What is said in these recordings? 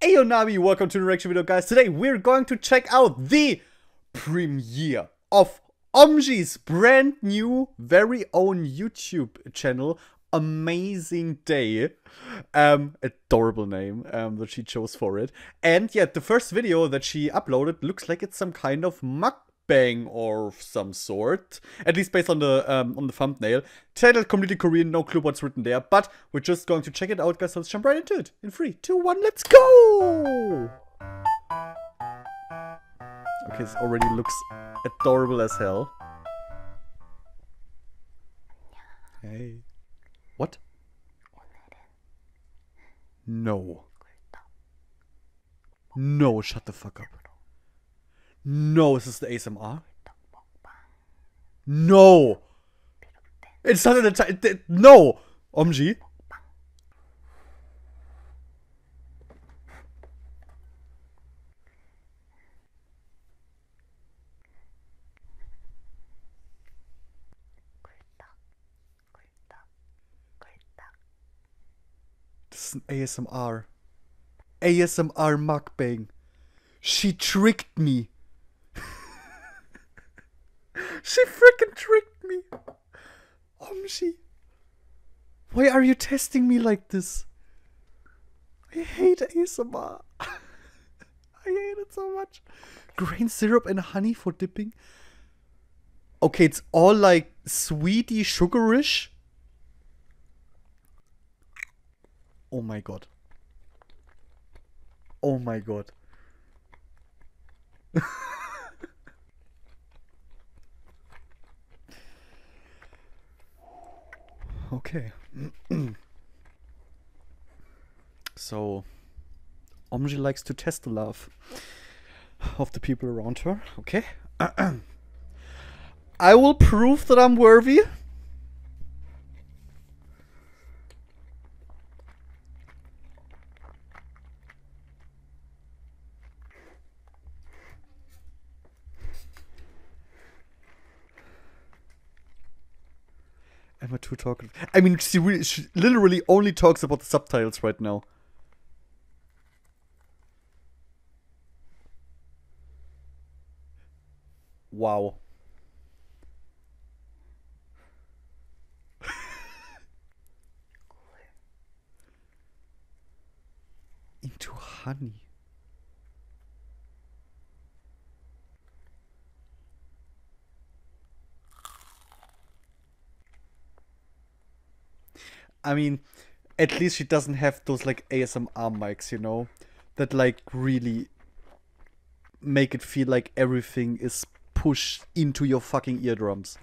Hey Nabi, welcome to the reaction video guys. Today we're going to check out the premiere of Omji's brand new very own YouTube channel Amazing Day. Um, adorable name um, that she chose for it. And yeah, the first video that she uploaded looks like it's some kind of mukbang or some sort. At least based on the um, on the thumbnail. Titled Completely Korean, no clue what's written there, but we're just going to check it out, guys, so let's jump right into it. In 3, 2, 1, let's go! Okay, this already looks adorable as hell. Hey. What? No. No, shut the fuck up. No, is this the ASMR? No! It's not an entire. No! OMG. This is ASMR. ASMR mukbang. She tricked me she fricking tricked me. Omshi. Why are you testing me like this? I hate ASMR. I hate it so much. Grain syrup and honey for dipping. Okay, it's all like sweety, sugarish. Oh my god! Oh my god! okay. so, Omji likes to test the love of the people around her. Okay. I will prove that I'm worthy. Am I too talkative? I mean, she, literally only talks about the subtitles right now. Wow. Into honey. I mean, at least she doesn't have those like ASMR mics, you know, that like really make it feel like everything is pushed into your fucking eardrums.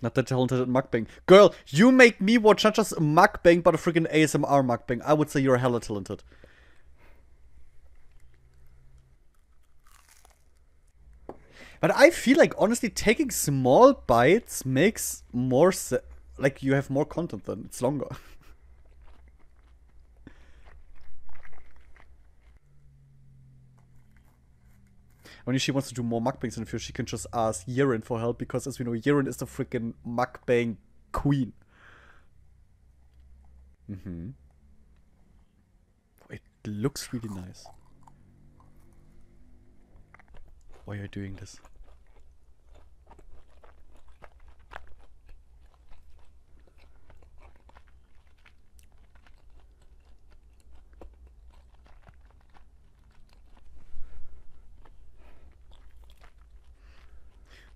Not that talented at mukbang. Girl, you make me watch not just a mukbang, but a freaking ASMR mukbang. I would say you're hella talented. But I feel like honestly taking small bites makes more like you have more content than It's longer. when she wants to do more mukbangs in the future, she can just ask Yiren for help because, as we know, Yiren is the freaking mukbang queen. hmm Wait, it looks really nice. Why are you doing this?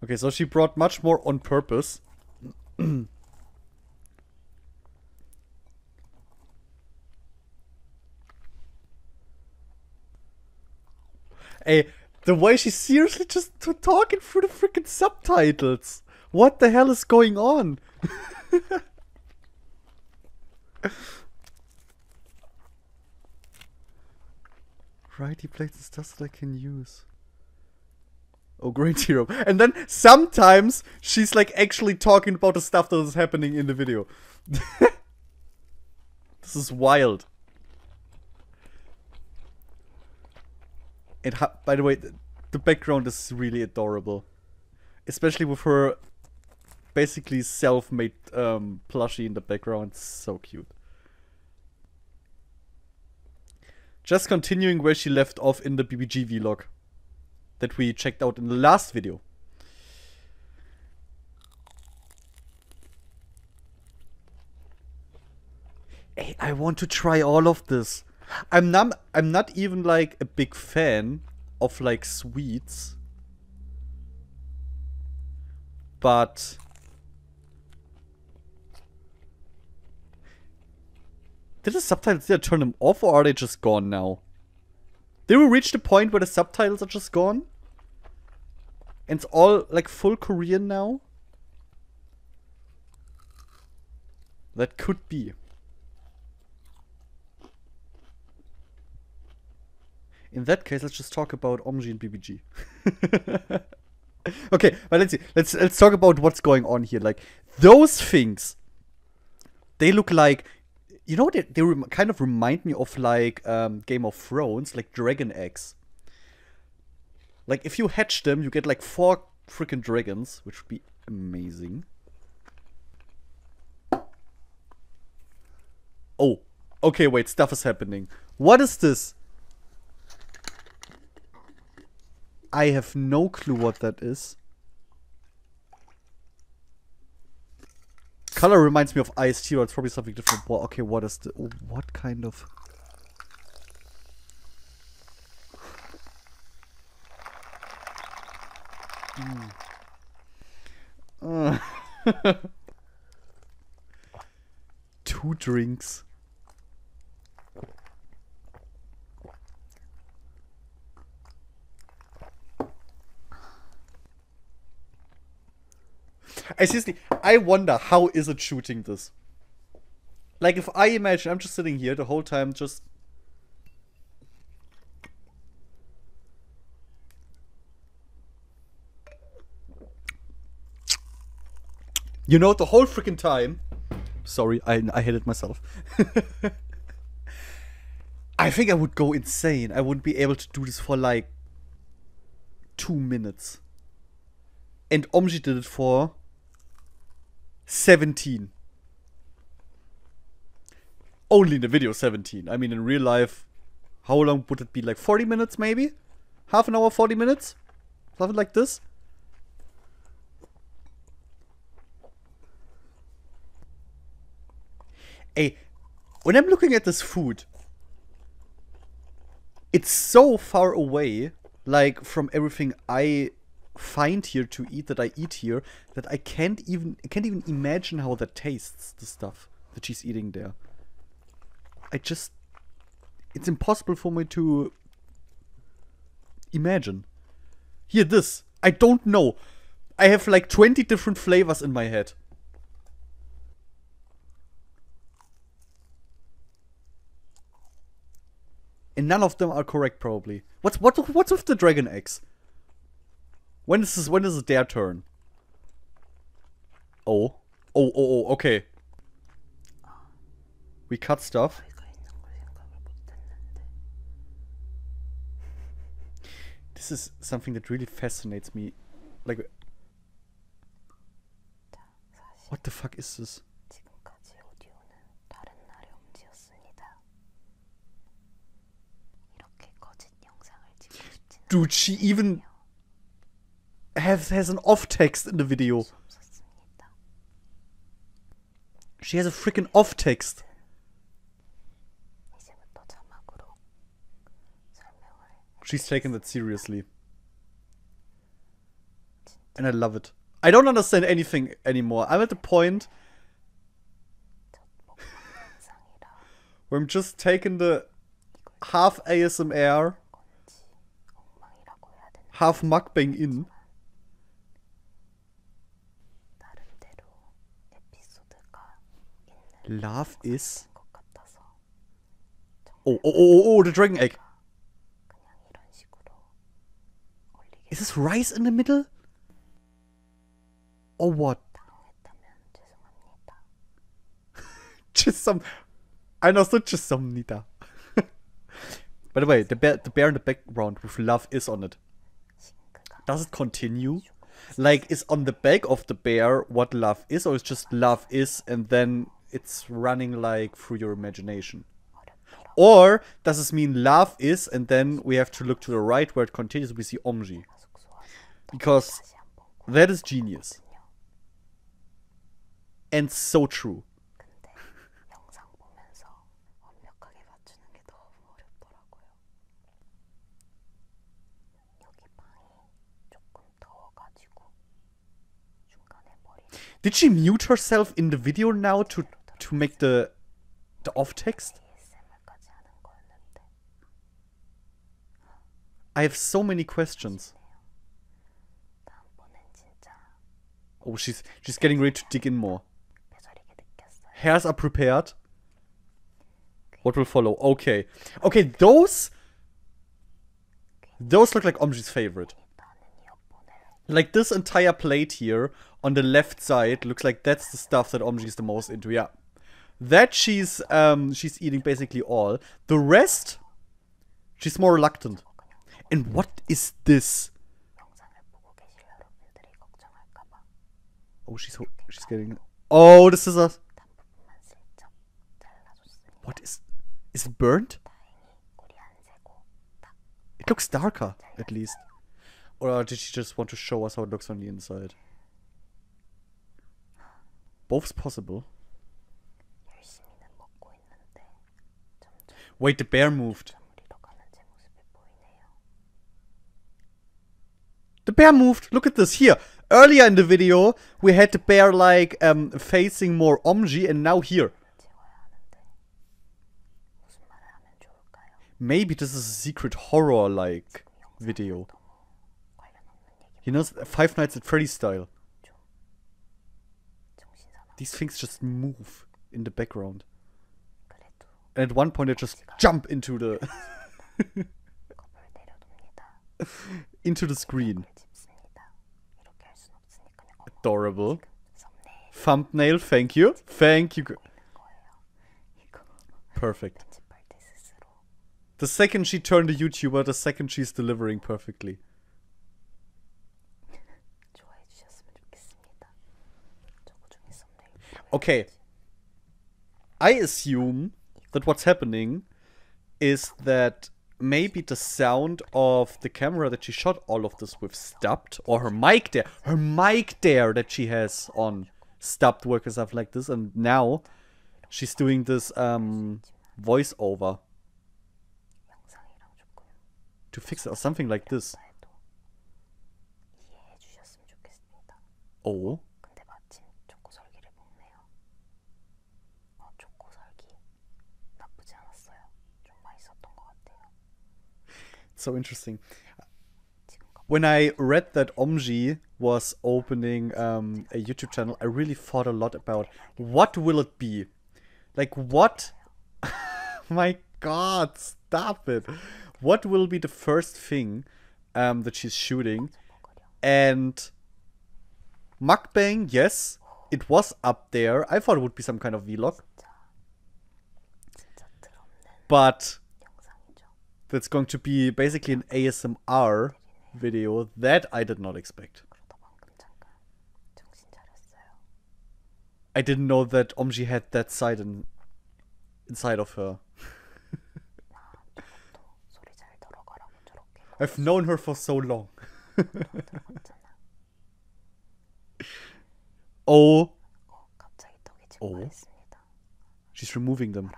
Okay, so she brought much more on purpose. Hey, the way she's seriously just talking through the freaking subtitles. What the hell is going on? Righty plates is just that I can use. Oh, great hero. And then sometimes she's like actually talking about the stuff that is happening in the video. this is wild. It by the way, the, background is really adorable. Especially with her basically self-made um, plushie in the background. So cute. Just continuing where she left off in the BBG log that we checked out in the last video. Hey, I want to try all of this. I'm not, I'm not even like a big fan of like sweets. But Did the subtitles there turn them off or are they just gone now? Did we reach the point where the subtitles are just gone? And it's all like full Korean now? That could be. In that case, let's just talk about Omji and BBG. okay, but let's see. Let's let's talk about what's going on here. Like those things, they look like you know, they, kind of remind me of like um, Game of Thrones, like dragon eggs. Like, if you hatch them, you get like four freaking dragons, which would be amazing. Oh, okay, wait, stuff is happening. What is this? I have no clue what that is. Color reminds me of iced tea, but it's probably something different. Well, okay, what is the... What kind of... Hmm. Two drinks. I seriously, I wonder how is it shooting this? Like if I imagine I'm just sitting here the whole time just You know the whole freaking time. Sorry, I I hit it myself. I think I would go insane. I wouldn't be able to do this for like two minutes. And Omji did it for 17. Only in the video 17. I mean in real life, how long would it be? Like 40 minutes maybe? Half an hour, 40 minutes? Something like this? A, when I'm looking at this food, it's so far away, like, from everything I find here to eat that I eat here, that I can't even, can't even imagine how that tastes, the stuff that she's eating there. I just, it's impossible for me to imagine. Here, this. I don't know. I have like 20 different flavors in my head. And none of them are correct probably. What's what what's with the dragon eggs? When is this when is it their turn? Oh. Oh oh oh okay. We cut stuff. Oh this is something that really fascinates me. Like What the fuck is this? Dude, she even has has an off text in the video. She has a freaking off text. She's taking that seriously. And I love it. I don't understand anything anymore. I'm at the point where I'm just taking the half ASMR, half mukbang in Love is oh oh, oh, oh, oh, the dragon egg Is this rice in the middle? Or what? Just some. 당황했다면 죄송합니다. just some nita. By the way, the bear, the bear in the background with love is on it. Does it continue? Like, is on the back of the bear what love is, or is just love is, and then it's running like through your imagination? Or does this mean love is, and then we have to look to the right where it continues, we see Omji? Because that is genius. And so true. Did she mute herself in the video now to to make the the off text? I have so many questions. Oh, she's she's getting ready to dig in more. Hairs are prepared. What will follow? Okay. Okay, those... Those look like Omji's favorite. Like this entire plate here on the left side looks like that's the stuff that Omji is the most into. Yeah. That she's um she's eating basically all. The rest she's more reluctant. And what is this? Oh, she's she's getting. Oh, this is a. What is? Is it burnt? It looks darker, at least. Or uh, did she just want to show us how it looks on the inside? Both possible. Wait, the bear moved. The bear moved. Look at this. Here, earlier in the video, we had the bear like um, facing more Omji and now here. Maybe this is a secret horror like video. You know, Five Nights at Freddy's style. These things just move in the background. And at one point, they just jump into the into the screen. Adorable. Thumbnail, thank you. Thank you. Perfect. The second she turned a YouTuber, the second she's delivering perfectly. Okay. I assume that what's happening is that maybe the sound of the camera that she shot all of this with stopped, or her mic there, her mic there that she has on stopped work and stuff like this, and now she's doing this um, voiceover to fix it, or something like this. So interesting. When I read that Omji was opening um, a YouTube channel, I really thought a lot about what will it be? Like what? My God, Start with What will be the first thing um, that she's shooting? And mukbang, yes, it was up there. I thought it would be some kind of vlog. But that's going to be basically an ASMR video that I did not expect. I didn't know that Omji had that side inside of her. I've known her for so long. oh. Oh. She's removing them.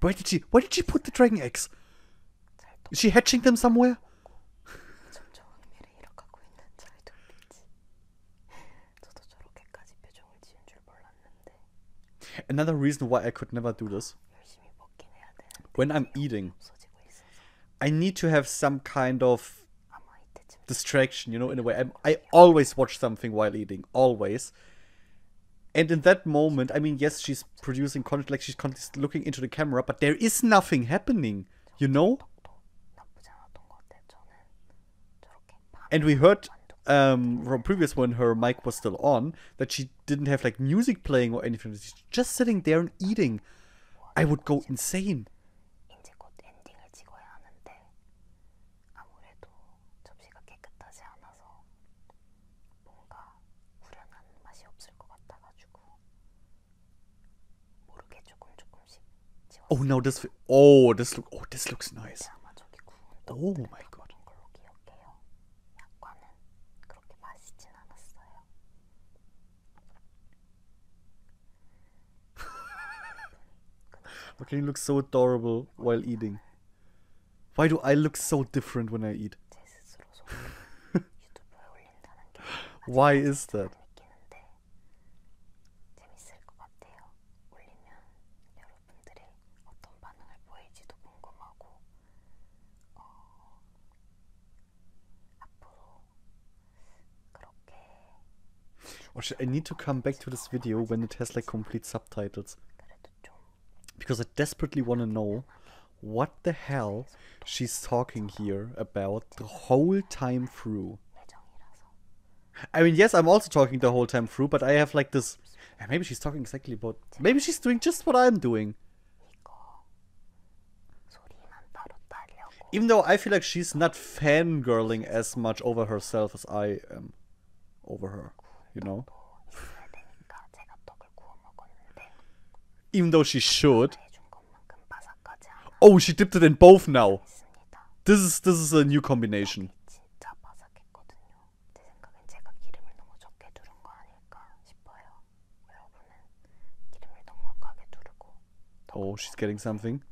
Why did she Why did she put the dragon eggs? Is she hatching them somewhere? Another reason why I could never do this. When I'm eating, I need to have some kind of distraction, you know, in a way. i I always watch something while eating, always. And in that moment, I mean, yes, she's producing content, like she's constantly looking into the camera, but there is nothing happening. You know? And we heard um, from previous when her mic was still on that she didn't have like music playing or anything. She's just sitting there and eating. I would go insane. 모르게 조금 조금씩 지워. Oh no, this oh this look oh this looks nice. 아마 저기 구운 Oh my god. 걸로 기억해요. 약과는 그렇게 맛있진 않았어요. Okay, you look so adorable while eating. Why do I look so different when I eat? Why is that? 느끼는데 I need to come back to this video when it has like complete subtitles? Because I desperately want to know what the hell she's talking here about the whole time through. I mean, yes, I'm also talking the whole time through, but I have like this. Maybe she's talking exactly about. Maybe she's doing just what I'm doing. Even though I feel like she's not fangirling as much over herself as I am over her, you know? Even though she should. Oh, she dipped it in both now. This is this is a new combination. Oh, she's getting something.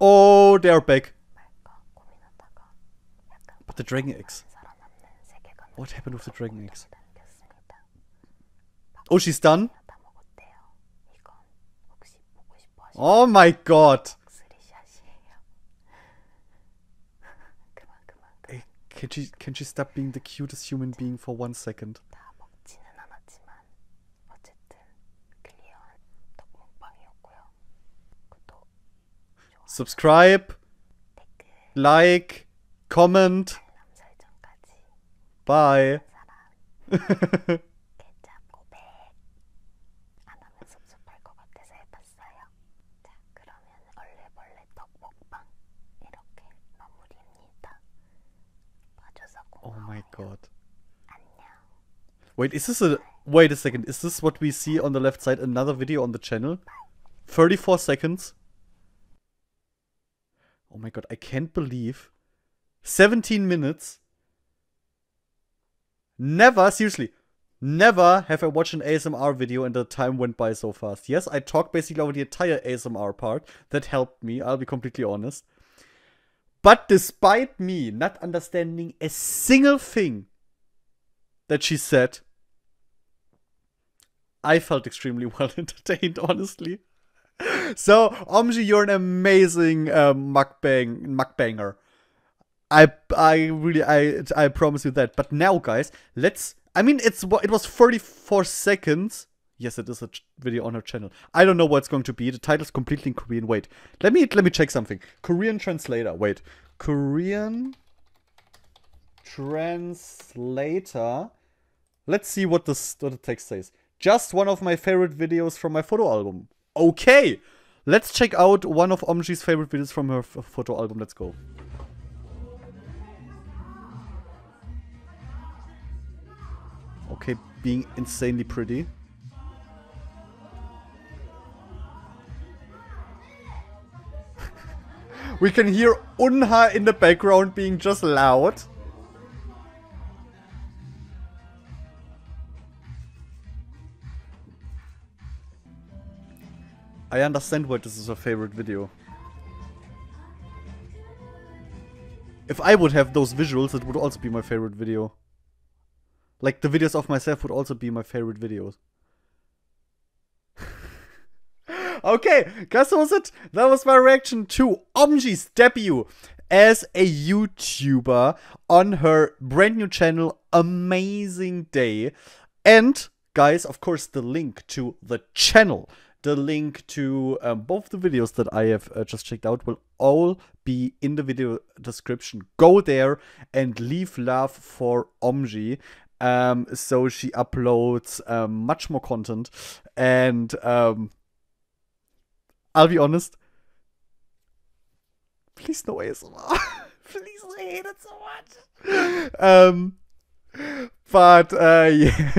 Oh, they are back. But the dragon eggs. What happened with the dragon eggs? Oh, she's done? Oh my god. can she can she stop being the cutest human being for one second? Subscribe, like, comment. Oh my god. Wait, is this a wait a second? Is this what we see on the left side? Another video on the channel? 34 seconds. Oh my god, I can't believe 17 minutes. Never, seriously, never have I watched an ASMR video and the time went by so fast. Yes, I talked basically over the entire ASMR part. That helped me, I'll be completely honest. But despite me not understanding a single thing that she said, I felt extremely well entertained, honestly. So, Omji, you're an amazing uh, mukbang mukbanger. I I really I I promise you that. But now, guys, let's. I mean, it's it was 34 seconds. Yes, it is a video on her channel. I don't know what it's going to be. The title's completely in Korean. Wait, let me let me check something. Korean translator. Wait, Korean translator Let's see what, this, what the text says. Just one of my favorite videos from my photo album. Okay! Let's check out one of Omji's favorite videos from her photo album. Let's go. Okay, being insanely pretty. we can hear Unha in the background being just loud. I understand why this is a favorite video. If I would have those visuals, it would also be my favorite video. Like, the videos of myself would also be my favorite videos. okay, guess that was it. That was my reaction too. Omji's debut as a YouTuber on her brand new channel, Amazing Day. And guys, of course, the link to the channel, the link to um, both the videos that I have uh, just checked out will all be in the video description. Go there and leave love for Omji. Um, so she uploads um, much more content and I'll be honest. Please do no ASMR. Please, I hate it so much. Um, but uh, yeah.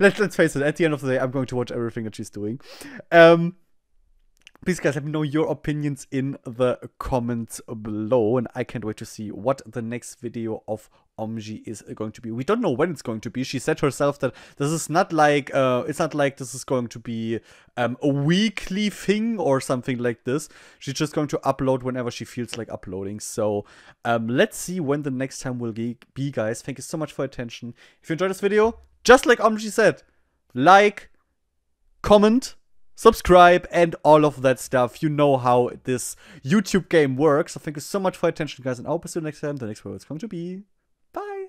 Let, let's face it. At the end of the day, I'm going to watch everything that she's doing. Um, please, guys, let me know your opinions in the comments below, and I can't wait to see what the next video of Omji is going to be. We don't know when it's going to be. She said herself that this is not like uh, it's not like this is going to be um, a weekly thing or something like this. She's just going to upload whenever she feels like uploading. So um, let's see when the next time will be, guys. Thank you so much for attention. If you enjoyed this video, just like Omji said, like, comment, subscribe, and all of that stuff. You know how this YouTube game works. So thank you so much for attention, guys, and I will to see you next time. The next video is going to be bye.